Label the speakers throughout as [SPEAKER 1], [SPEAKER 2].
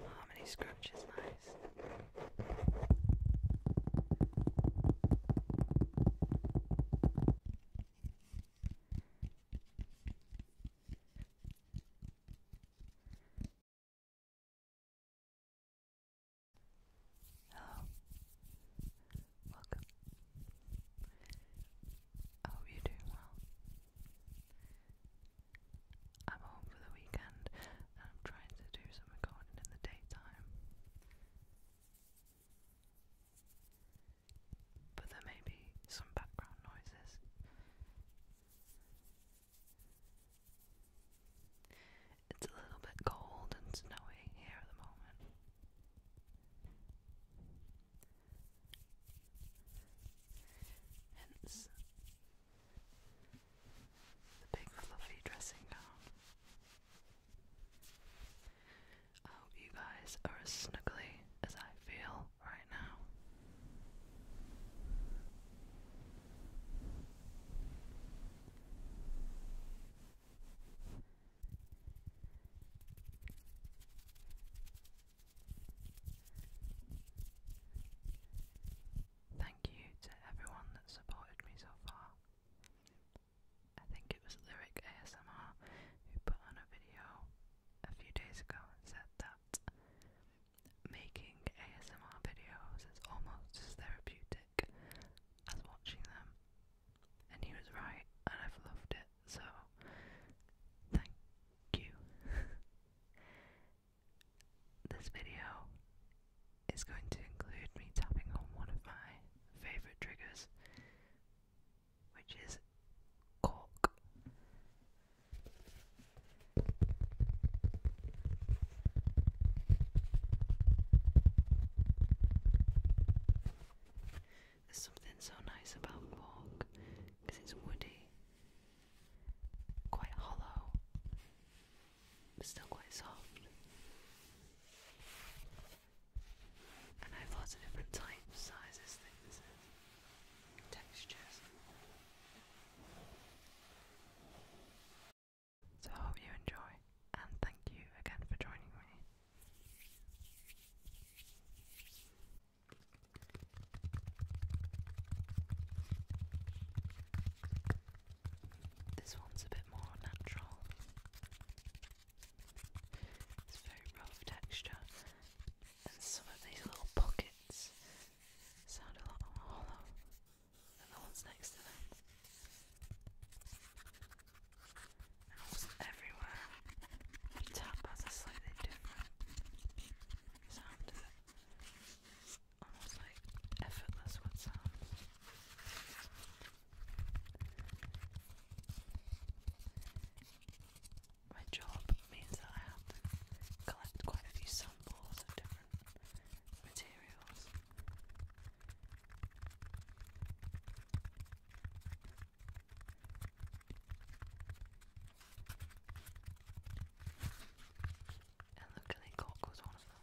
[SPEAKER 1] Harmony scrunch is nice. Hello, welcome. I hope you're doing well. I'm home for the weekend and I'm trying to do some recording in the daytime. But there may be some background noises. It's a little bit cold and snowy here at the moment. Hence the big fluffy dressing gown. I hope you guys are as snuggly as I feel right now. Thank you to everyone that supported me so far. I think it was Lyric ASMR who put on a video a few days ago and said that making ASMR videos is almost as therapeutic as watching them and he was right, and I've loved it, so thank you. this video is going to include me tapping on one of my favourite triggers, which is cork. There's something so nice about cork because it's woody, quite hollow, still quite soft. And I have lots of different types, sizes, thicknesses, textures. So I hope you enjoy, and thank you again for joining me. This one's a bit more natural. It's very rough texture, and some of these little pockets sound a lot hollow than the ones next to them. Owls everywhere. The tap has a slightly different sound to Almost like effortless My job means that I have to collect quite a few samples of different materials. And look at was one of them.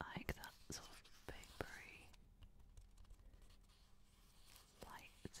[SPEAKER 1] I like that sort of papery light feel.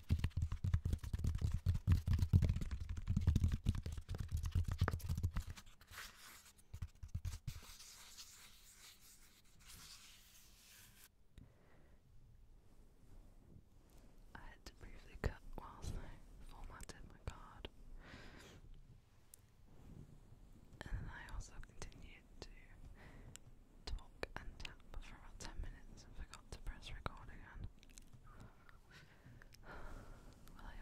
[SPEAKER 1] I had to briefly cut whilst I formatted my card. And then I also continued to talk and tap for about 10 minutes and forgot to press record again. Will I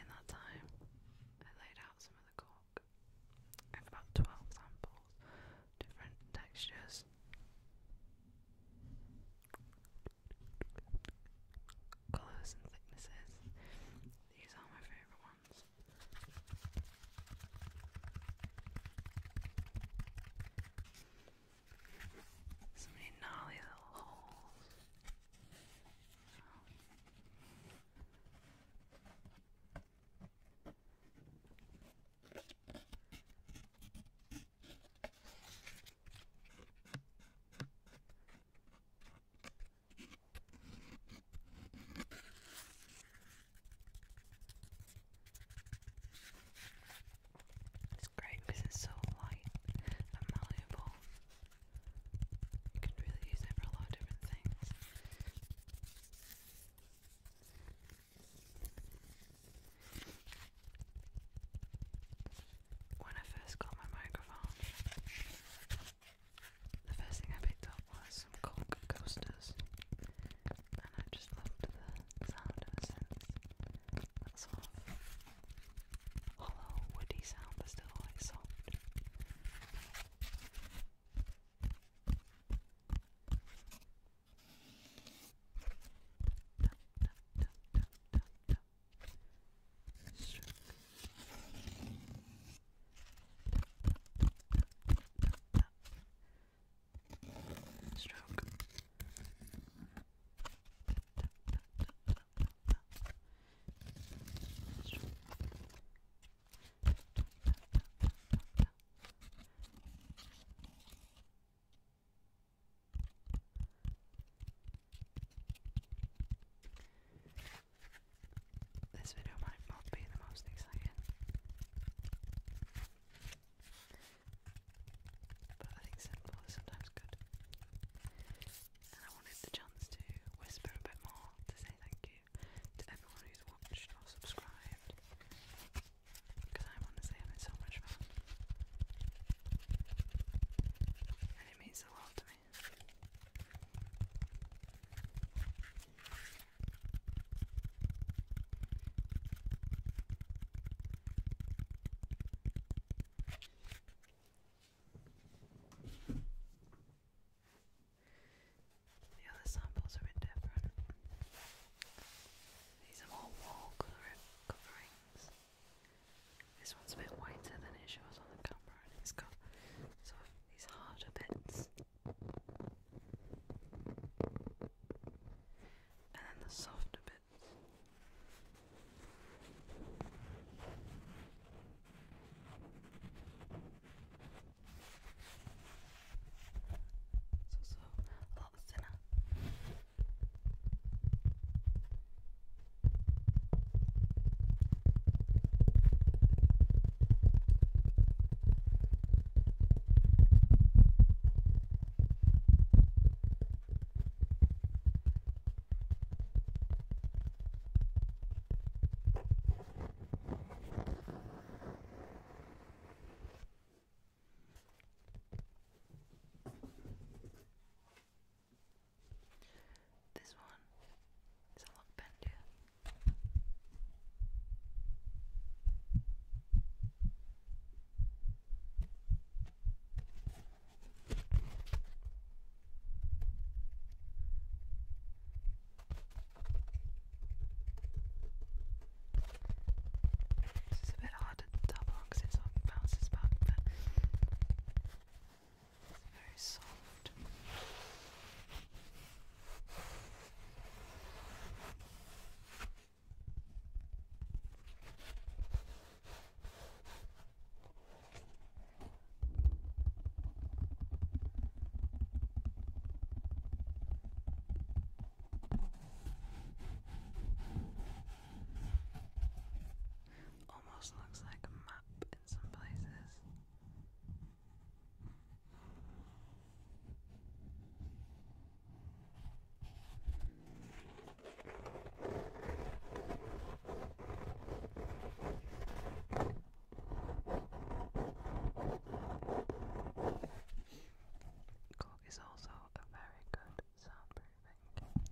[SPEAKER 1] In that time, I laid out some of the cork. I have about 12 samples, different textures. Colours and thicknesses. These are my favourite ones sounds. So many gnarly little holes. It's great because it's so light malleable. You can really use it for a lot of different things. When I first got my microphone, the first thing I picked up was some Coke coasters, and I just loved the sound ever That sort hollow, woody sound, but still like Stroke. Stroke this video might not be the most exciting. But I think simple sometimes good. And I wanted the chance to whisper a bit more to say thank you to everyone who's watched or subscribed. Because i honestly having so much fun. And it means a lot to me. The other samples are a bit different. These are more wall coverings. This one's a bit whiter than it shows on the camera, and it's got sort of these harder bits. And then the softer bits. It's also a lot thinner. This one is a lot bendier. This is a bit hard to double because it sort back, but it's very soft. Almost looks like a map in some places. Cork is also a very good soundproofing.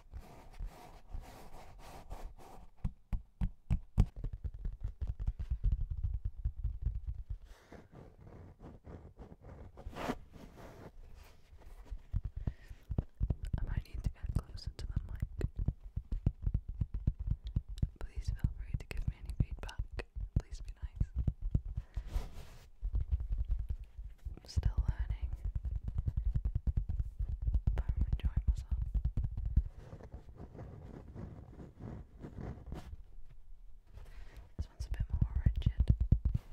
[SPEAKER 1] I might need to get closer to the mic. Please feel free to give me any feedback. Please be nice. I'm still learning, but I'm enjoying myself. This one's a bit more rigid. I'm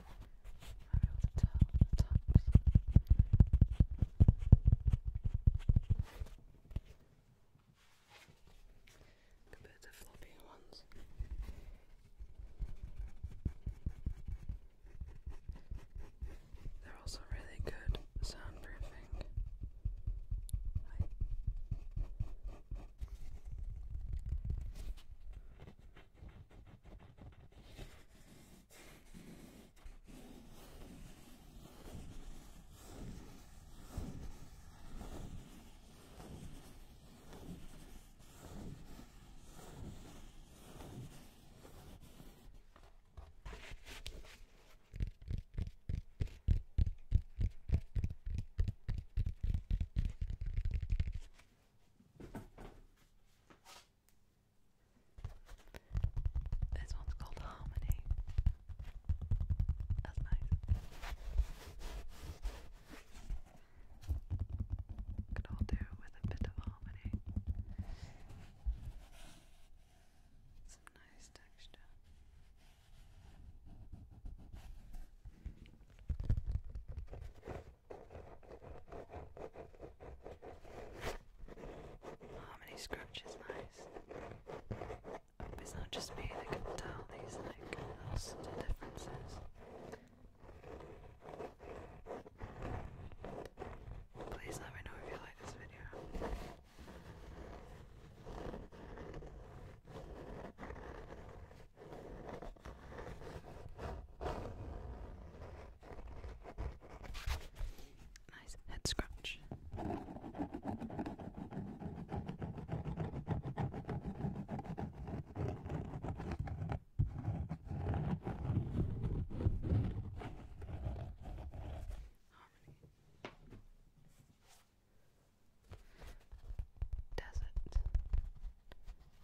[SPEAKER 1] able to tell the floppy ones. They're also really good soundproofing. This one's called Harmony. That's nice. Could all do with a bit of harmony. Some nice texture. Harmony scrunch is nice. It's not just me that can tell these like little subtle differences. Please let me know if you like this video. Nice head scratch. Harmony. Desert.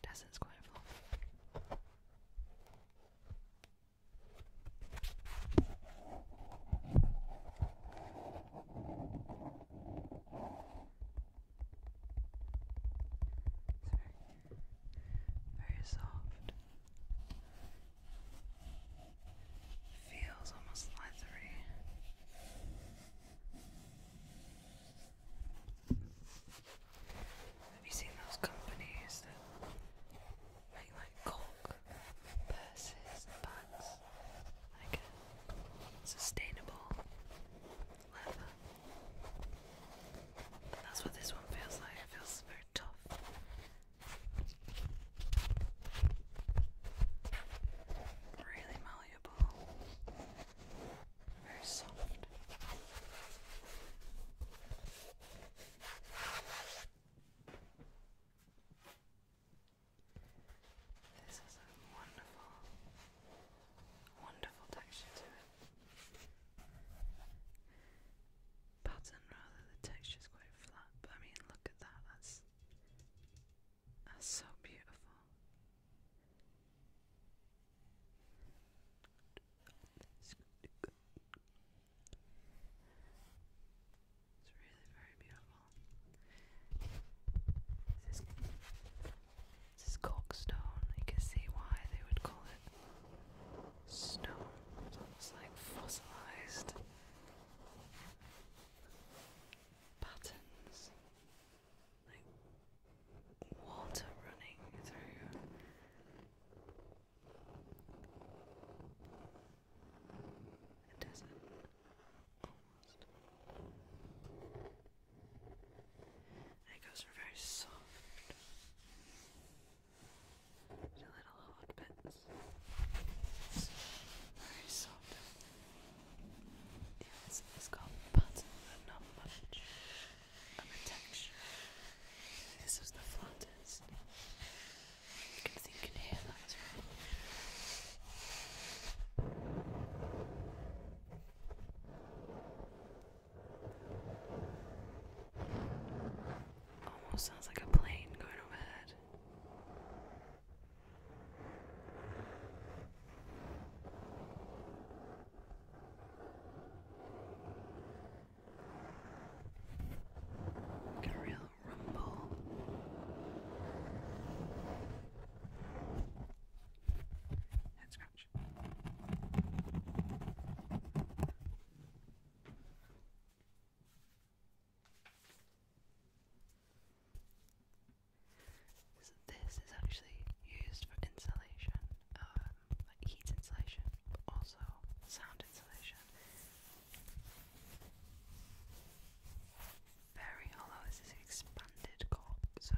[SPEAKER 1] Desert's quite fluffy. It's very very soft. Feels almost leathery. Have you seen those companies that make like cork purses bags? Like uh, sustainable leather that's what this one feels like. It feels very tough. Really malleable. Very soft. This is a wonderful, wonderful texture to it pattern rather. The texture's quite flat, but I mean, look at that. That's so beautiful. It's really very beautiful. This is, this is corkstone. You can see why they would call it stone. It's like fossilized patterns, like water running through. A desert, almost. And it goes very soft little hot bits. very soft. Yeah, it's, it's got not much a texture. This is the flattest. You can think and hear Almost sounds like a plane going overhead. Get a real rumble. Head scratch this is actually used for insulation, um, like heat insulation, but also sound insulation. Very hollow. This is expanded cork, so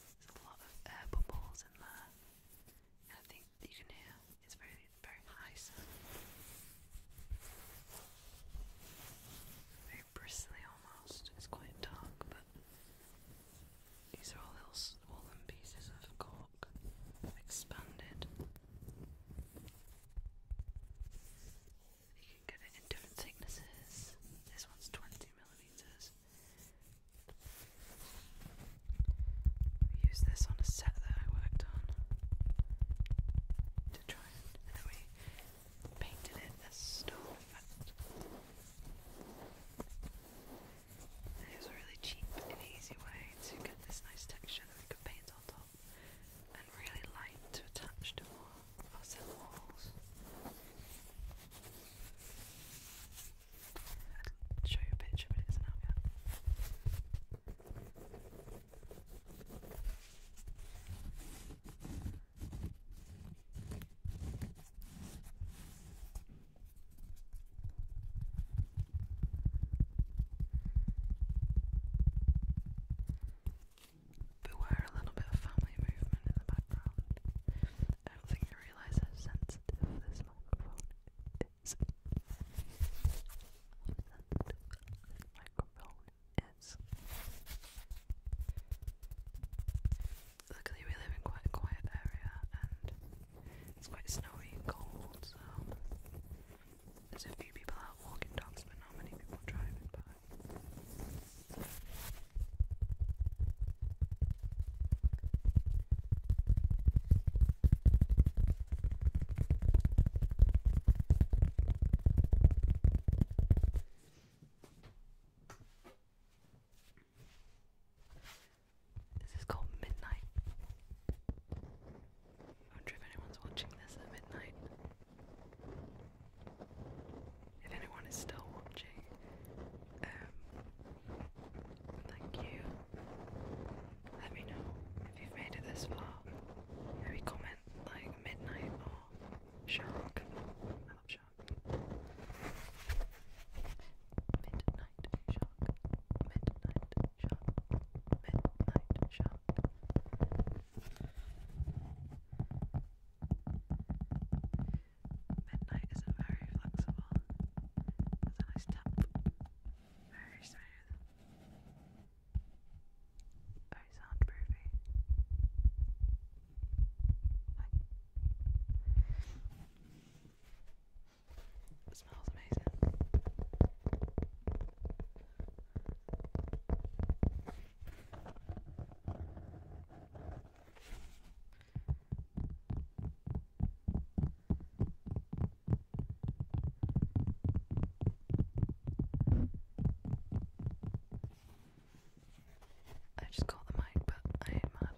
[SPEAKER 1] there's a lot of air bubbles in there. I think you can hear is very, very nice. Very bristly almost. It's quite dark, but these are all little swollen pieces of cork expanded. You can get it in different thicknesses. This one's 20 millimeters, we used this on a set that I worked on to try and, and we painted it as storm effect. it was a really cheap and easy way to get this nice texture that we could paint on top and really light to attach to our, our walls i show you a picture, but it isn't yet. Beware a little bit of family movement in the background. I don't think I realise that sense sensitive this Luckily, we live in quite a quiet area and it's quite snowy and cold, so there's a few people out walking dogs, but not many people driving by. This is called Midnight. I wonder if anyone's watching this at midnight. If anyone is still watching. Um, you. Let me know if you've made it this far. Maybe comment like midnight or shark. I love shark. Midnight shark. Midnight shark. Midnight shark. Midnight is very flexible. It's a nice tap. Very smooth. Very soundproofy. Like, it smells amazing. I just caught the mic, but I ain't mad.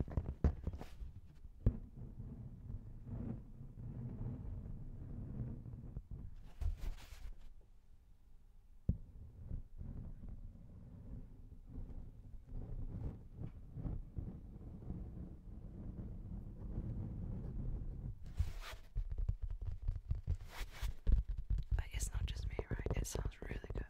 [SPEAKER 1] Like, it's not just me, right? It sounds really good.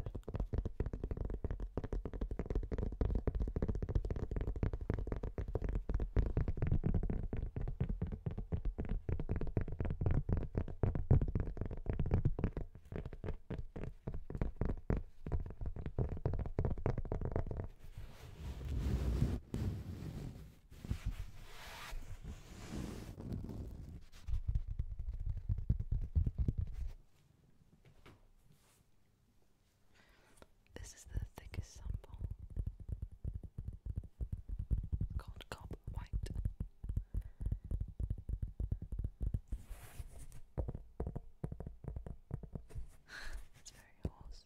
[SPEAKER 1] This is the thickest sample. called Cob White it's very horse.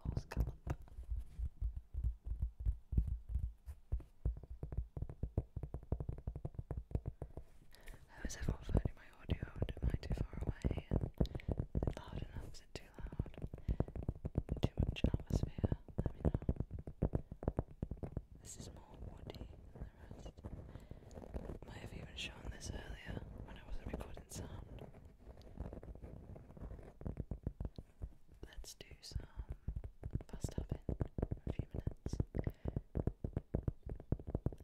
[SPEAKER 1] Horse gallop. How is everyone finding my audio? am I too far away? is it loud enough? Is it too loud? Too much atmosphere? Let me know. This is more woody I have even shown this earlier when I wasn't recording sound. Let's do some fast tapping for a few minutes.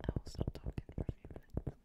[SPEAKER 1] I will stop talking for a few minutes.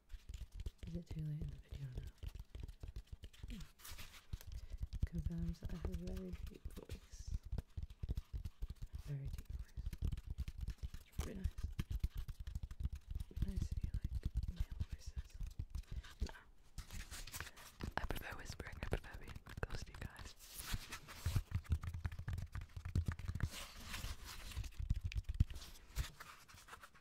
[SPEAKER 1] Is it too late in the video now? Hmm. Confirms that I have very deep voice. Very deep voice. It's nice. nice if you like male voices. I prefer whispering, I prefer being close guys.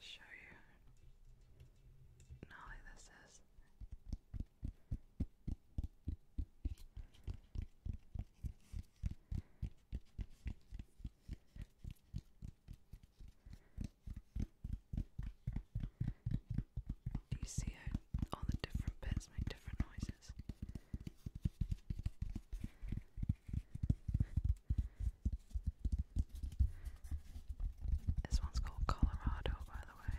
[SPEAKER 1] Show you gnarly this is you see how all the different bits make different noises? This one's called Colorado, by the way.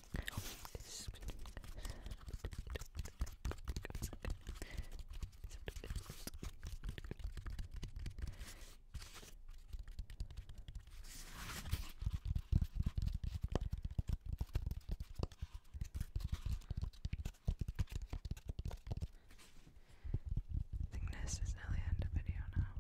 [SPEAKER 1] I think this is the end of the video now.